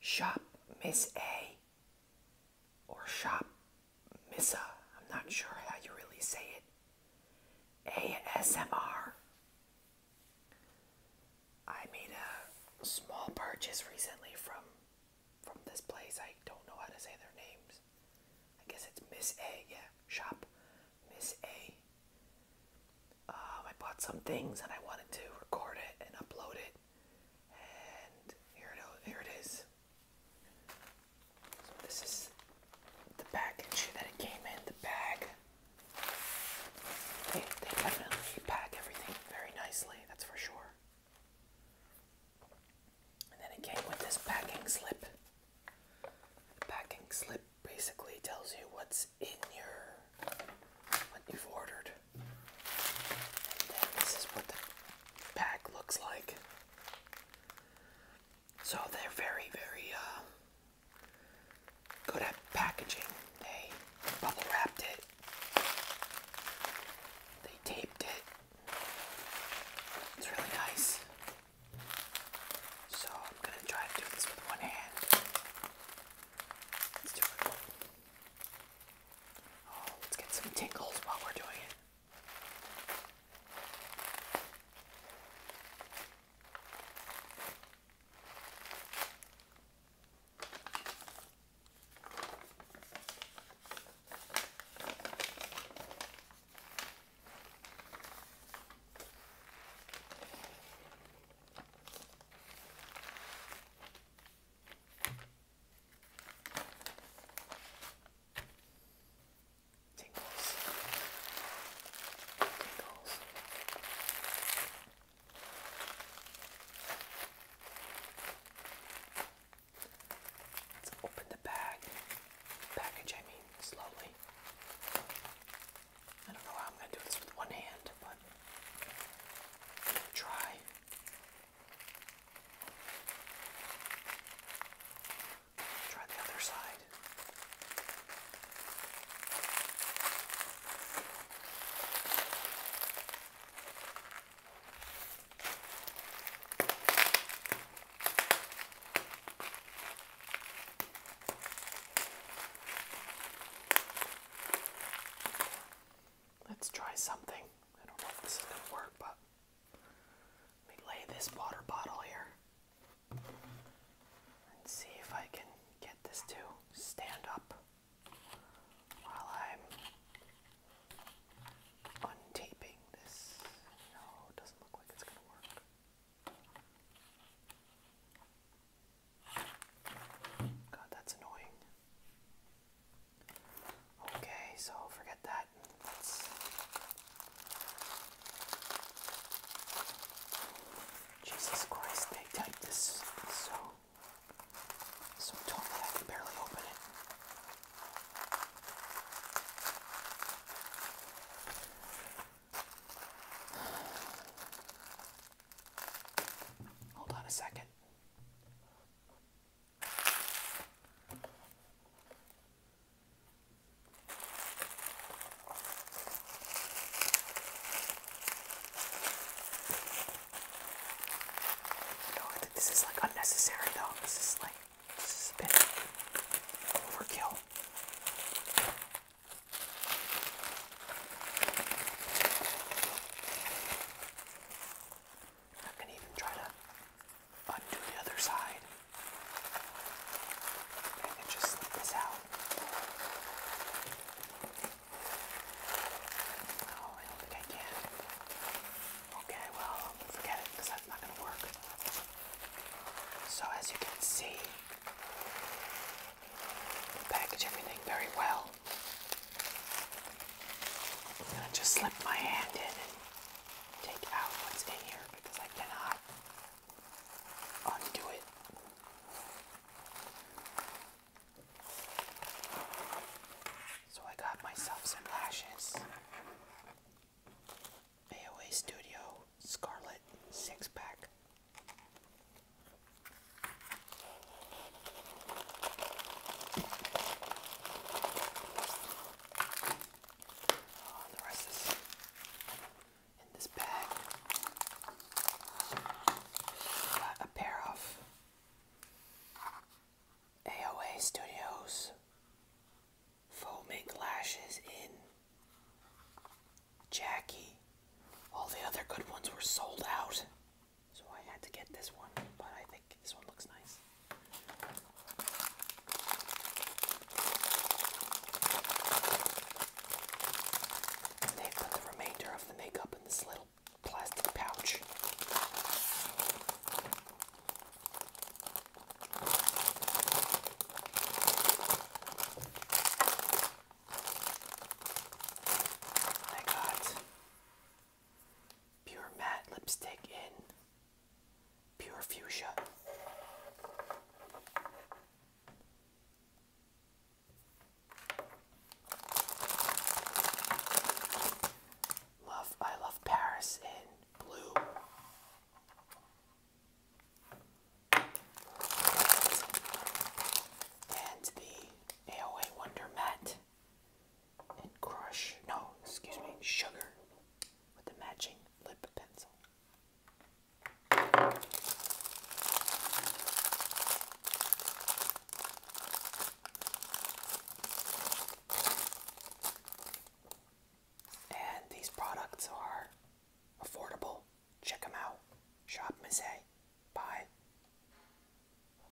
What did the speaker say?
Shop Miss A or Shop Missa. I'm not sure how you really say it. ASMR. I made a small purchase recently from from this place. I don't know how to say their names. I guess it's Miss A. Yeah, Shop Miss A. Um, I bought some things and I wanted to record it and upload it and here it is. So this is the package that it came in, the bag. They, they definitely pack everything very nicely, that's for sure. And then it came with this packing slip. The packing slip basically tells you what's in your what you've ordered this is what the pack looks like. So they're very, very uh, good at packaging. They bubble wrapped it, they taped it. It's really nice. So I'm going to try to do this with one hand. Let's it. Oh, let's get some tingles while we're doing it. Tingles. Tingles. open the bag. Package, I mean, slowly. I don't know how I'm going to do this with one hand, but try. Try the other side. Let's try something. I don't know if this is going to work, but let me lay this water bottle here and see if I can get this to stand up while I'm untaping this. No, doesn't look like it's going to work. God, that's annoying. Okay, so forget that. Jesus Christ, they typed this so so tough I can barely open it. Hold on a second. No, this is like unnecessary though. This is like this is a bit overkill. I'm gonna even try to undo the other side and then just slip this out. Oh, I don't think I can. Okay, well, forget it that's not going to work. So as you can see, package everything very well. I'm gonna just slip my hand in and take out what's in here because I cannot undo it. So I got myself some lashes. AOA Studio Scarlet six pack. Oh, Got a pair of AOA Studios foaming lashes in Jackie. All the other good ones were sold out. So I had to get this one, but I think this one looks nice. they put the remainder of the makeup in this little plastic pouch. I got Pure matte lipstick in pure fuchsia. Love, I love Paris in blue. And the AOA Wonder Matte and crush, no, excuse me, sugar with the matching lip pencil. And these products are affordable. Check them out. Shop Misset. Bye.